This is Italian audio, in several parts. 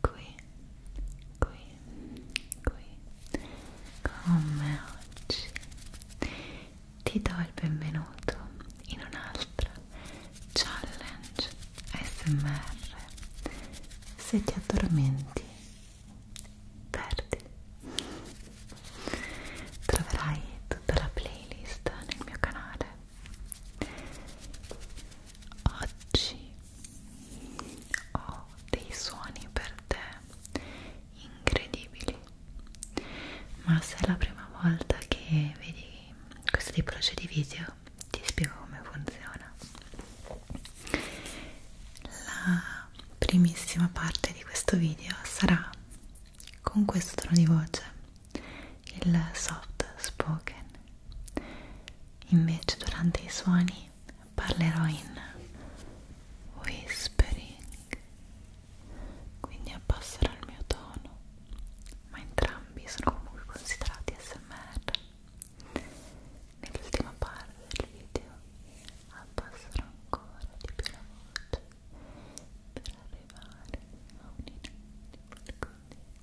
qui, qui, qui, come oggi. Ti do il benvenuto in un'altra challenge ASMR. Se ti addormenti, perdi. Troverai tutta la playlist nel mio canale. Oggi ho dei suoni per te incredibili ma se è la prima volta che vedi questo tipologia di video ti spiego come funziona la primissima parte di questo video sarà con questo tono di voce il soft spoken invece durante i suoni parlerò in whispering quindi abbasserò il mio tono ma entrambi sono comunque considerati smr nell'ultima parte del video abbasserò ancora di più la voce per arrivare a un inutile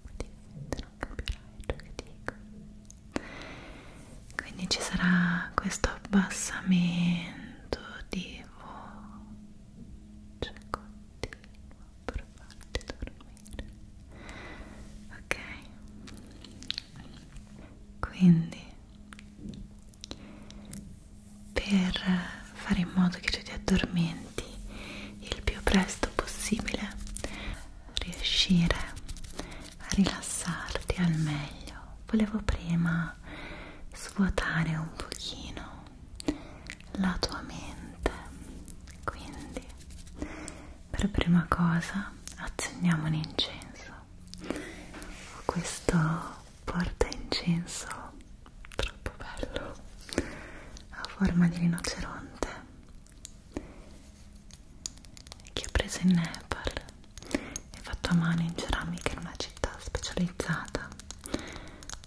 quindi non capirai ciò che dico quindi ci sarà questo abbassamento di voce continuo per farti dormire ok quindi per fare in modo che tu ti addormenti il più presto possibile riuscire rilassarti al meglio volevo prima svuotare un pochino la tua mente quindi per prima cosa accendiamo un incenso ho questo porta incenso troppo bello a forma di rinoceronte che ho preso in Nepal è fatto a mano in ceramica in una città specializzata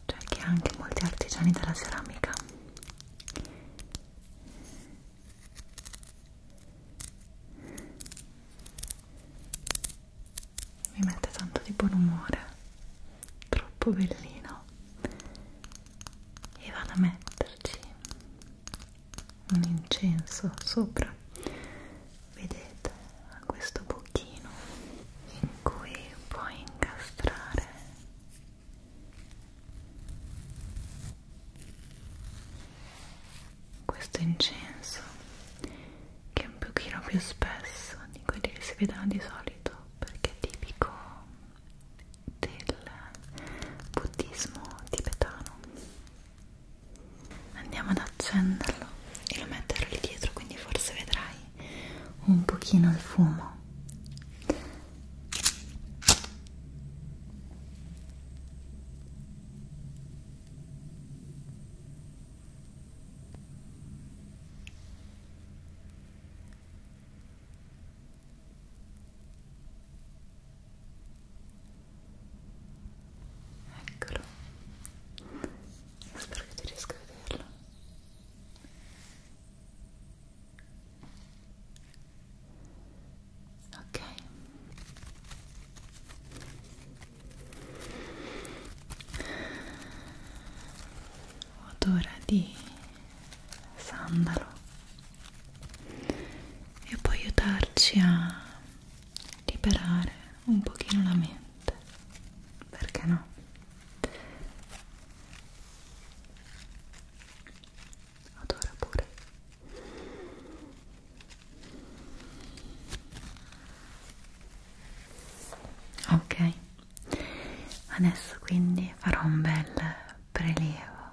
cioè che ha anche molti artigiani della ceramica mi mette tanto di buon umore troppo bellino e vado a metterci un incenso sopra vedete questo buchino in cui puoi incastrare questo incenso che è un pochino più spesso di quelli che si vedono di solito perché è tipico del buddismo tibetano andiamo ad accenderlo e lo metterò lì dietro quindi forse vedrai un pochino il fumo Eccolo. Spero che tu riesca a vederlo. Ok. Odore di sandalo e può aiutarci a liberare un pochino la mente perché no odora pure ok adesso quindi farò un bel prelievo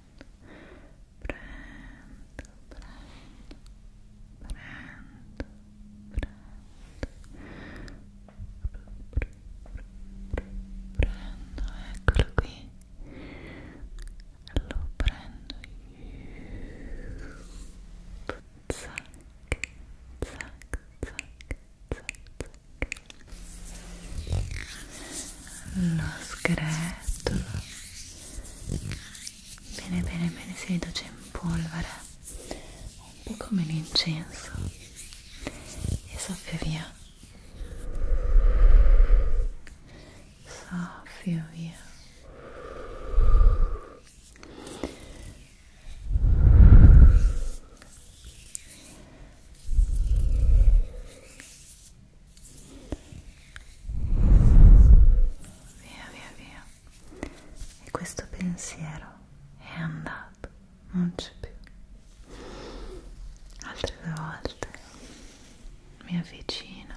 prendo, prendo, prendo, prendo, prendo, eccolo qui, lo prendo io, zac, zac, zac, zac, zac. lo scretolo bene bene bene si riduce in polvere un po' come l'incenso e soffio via soffio via Via via via. E questo pensiero è andato, non c'è più. Altre due volte mi avvicino,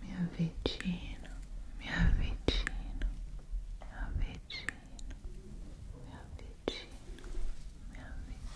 mi avvicino, mi avvicino, mi avvicino, mi avvicino, mi avvicino.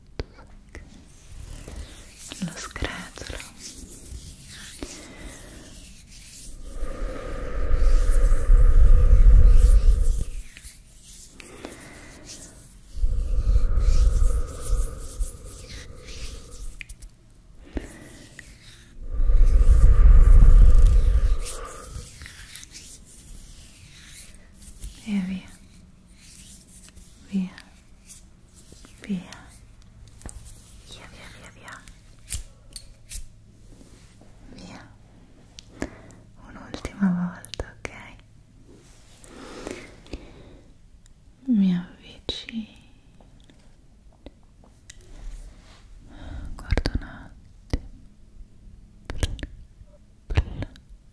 lo scretolo e via via via via via via via via un'ultima volta ok mi avvicino guarda un attimo Bl, bl, bl,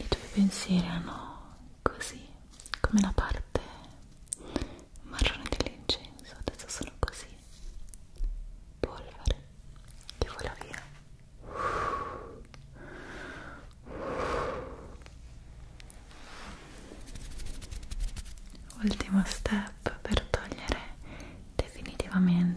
I tuoi pensieri erano così, come la parte marrone dell'incenso, adesso sono così, polvere che vola via. Ultimo step per togliere definitivamente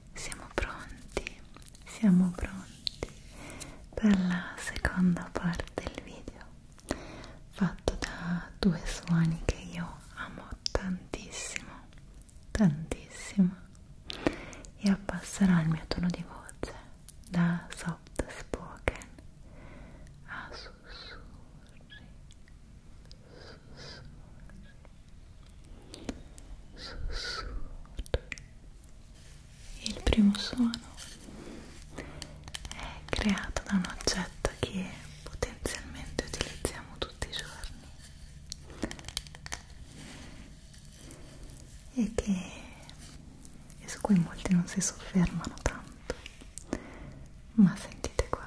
Siamo pronti, siamo pronti per la seconda parte del video fatto da due suoni che io amo tantissimo, tantissimo e abbasserò il mio tono di voce da soft spoken a sussurri, sussurri sussurro il primo suono è creato da un oggetto che potenzialmente utilizziamo tutti i giorni e, che, e su cui molti non si soffermano tanto ma sentite qua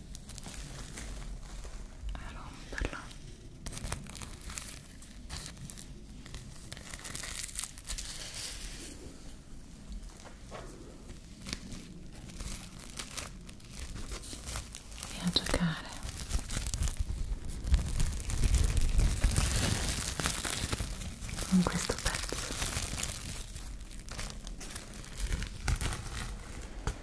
a romperla e a giocare con questo pezzo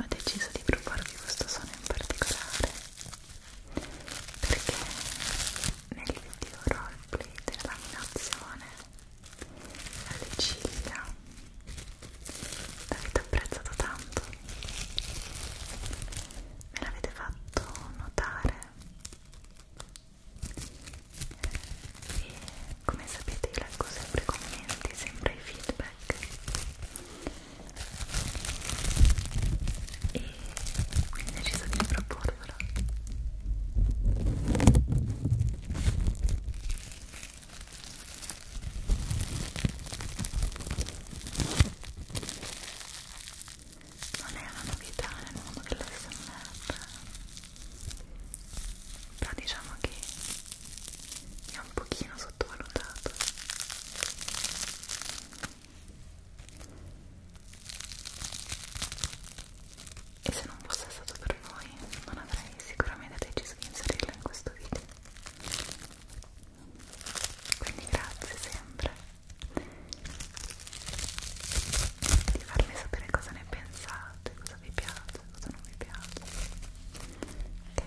Ho deciso di provarvi questo suono in particolare perché nel video roleplay della laminazione alle ciglia l'avete apprezzato tanto me l'avete fatto notare e come sapete io leggo sempre i commenti sempre i feedback e quindi ho deciso di proporvelo non è una novità nel mondo dell'SMR però diciamo che è un pochino sottovalutato e se non fosse stato per voi non avrei sicuramente deciso di inserirla in questo video quindi grazie sempre di farmi sapere cosa ne pensate, cosa vi piace, cosa non vi piace ok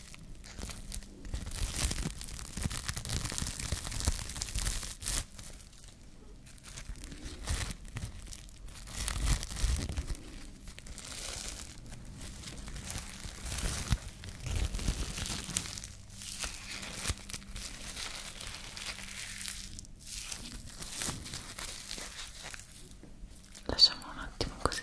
Lasciamo un attimo così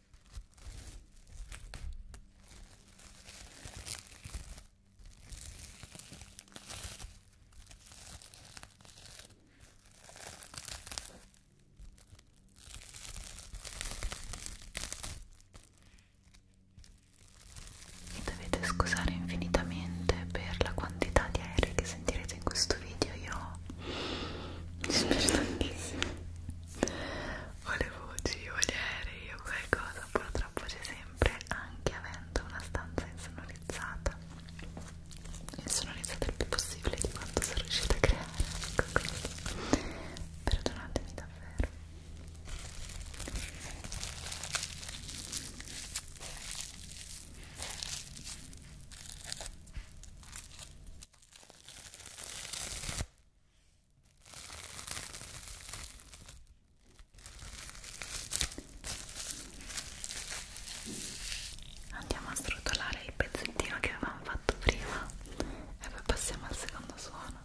Mi dovete scusare infinitamente per la quantità di aerei che sentirete in questo video, io mi spiace tantissimo o le voci o gli aerei o qualcosa purtroppo c'è sempre anche avendo una stanza insonorizzata insonorizzata il più possibile di quanto sono riuscita a creare ecco quindi perdonatemi davvero Andiamo a srotolare il pezzettino che avevamo fatto prima e poi passiamo al secondo suono.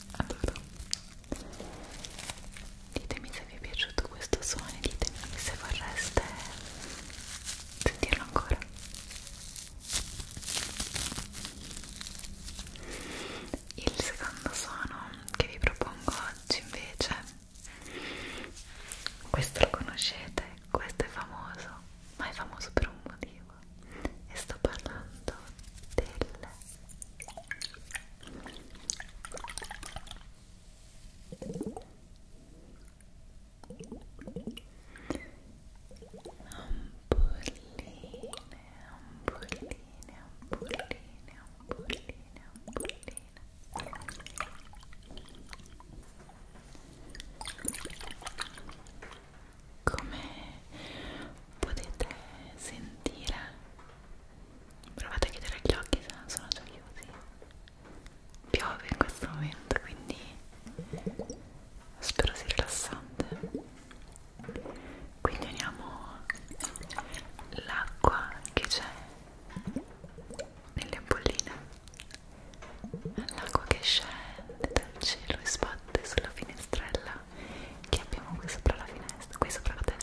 Allora, ditemi se vi è piaciuto questo suono, ditemi se vorreste sentirlo ancora. Il secondo suono che vi propongo oggi invece, questo lo conoscete, questo è famoso, ma è famoso per un motivo lingua e sto parlando del ampolline, ampolline, ampolline, ampolline, ampolline come potete sentire provate a chiudere gli occhi se non sono già chiusi piove in questo momento quindi spero sia rilassante quindi uniamo l'acqua che c'è nelle bolline l'acqua che scende dal cielo e sbatte sulla finestrella candela che abbiamo qui sopra la finestra, qui sopra la testa.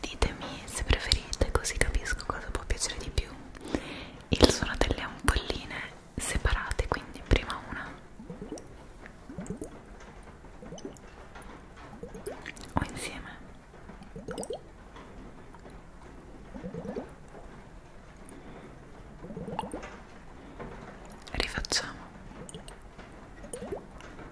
Ditemi se preferite, così capisco cosa può piacere di più. Il suono delle ampolline separate, quindi prima una o insieme. Rifacciamo.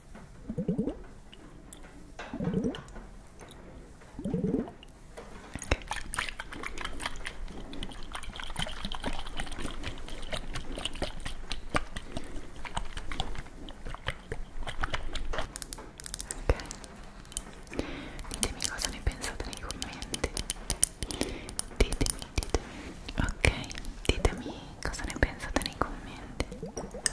Ditemi cosa ne pensate nei commenti. Ditemi, ditemi. Ok, ditemi cosa ne pensate nei commenti.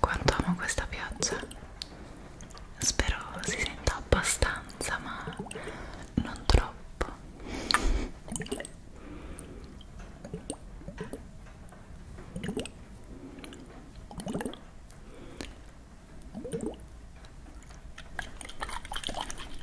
Quanto amo questa pioggia. Spero si senta abbastanza, ma non troppo.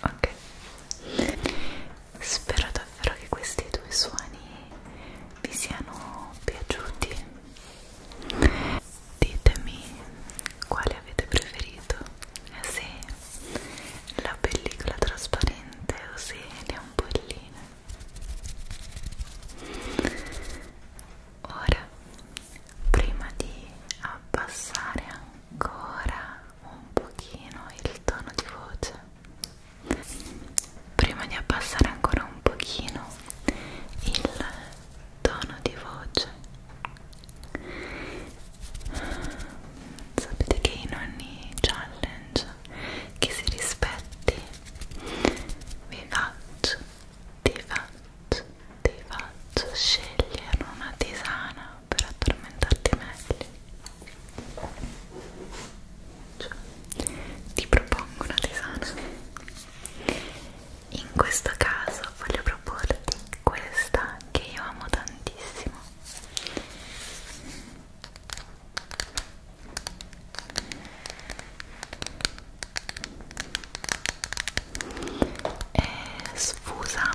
ok spero davvero che questi due suoni vi siano piaciuti ditemi quale avete preferito eh se la pellicola trasparente o se le ampolline Ora, prima di abbassare ancora un pochino il tono di voce, prima di abbassare ancora un pochino il tono di voce, sapete che in ogni challenge che si rispetti vi faccio ti faccio, ti faccio scegliere una tisana per addormentarti meglio cioè, ti propongo una tisana in questo caso voglio proporti questa che io amo tantissimo è eh, sfusa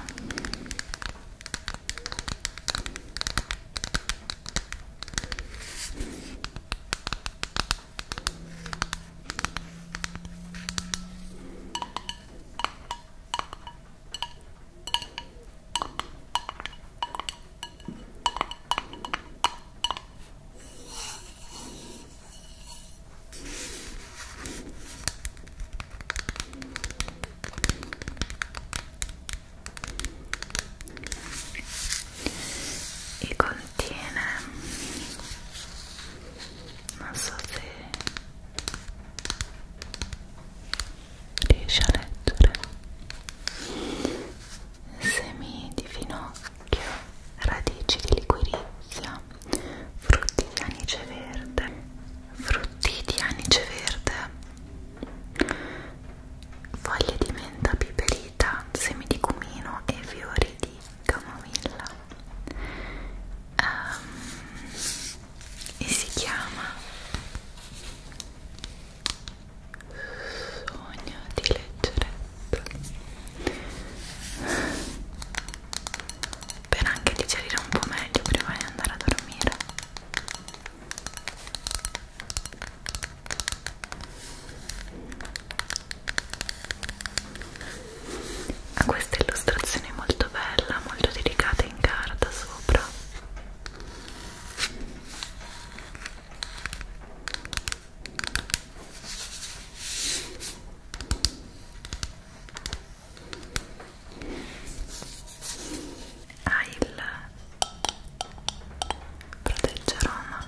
e contiene non so se riesci a leggere semi di finocchio, radici di liquirizia, frutti di anice verde, frutti di anice verde, foglie di menta piperita, semi di cumino e fiori di camomilla. Um, e si chiama sogno di leggerezza per anche digerire un po' meglio prima di andare a dormire ha questa illustrazione molto bella, molto delicata in carta sopra ha il proteggeroma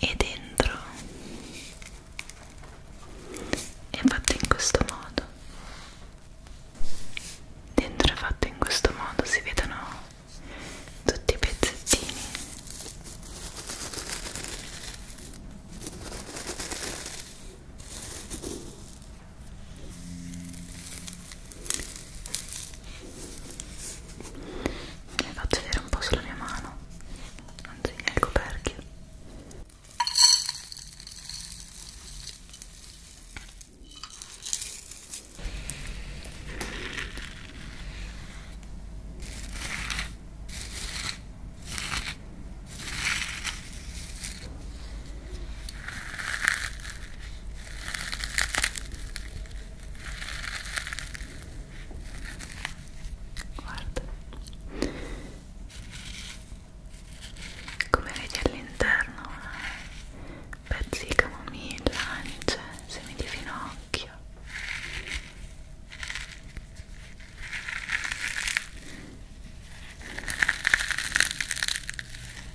e dentro è fatto in questo modo dentro è fatto in questo modo si vedono tutti i pezzettini mi faccio vedere un po' sulla mia mano, anzi nel coperchio guarda come vedi all'interno pezzi di camomilla, anice, semi di finocchio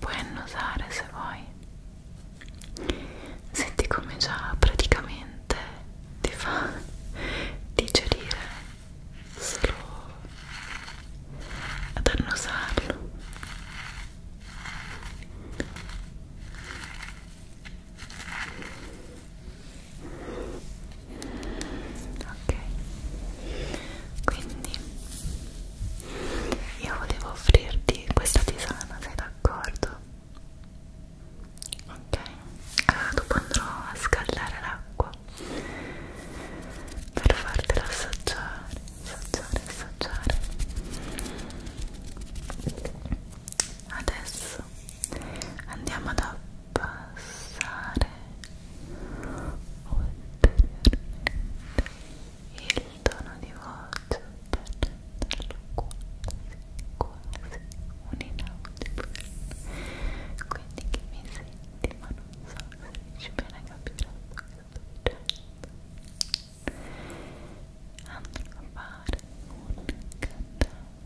puoi annusare se vuoi senti come già praticamente ti fa digerire solo ad annusarlo ok quindi io volevo offrirti questa tisana sei d'accordo? ok allora dopo andrò a scaldare l'acqua per fartela assaggiare assaggiare assaggiare adesso andiamo ad abbassare ulteriormente il tono di voce per renderlo quasi quasi un inaudibile quindi che mi senti ma non so se riesci bene a capire quello che sto dicendo andrò a fare un cantante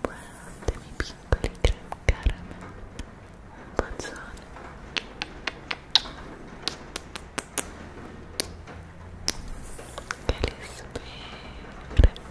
Buonanotte miei piccoli creme caramel Un bacione Che li spero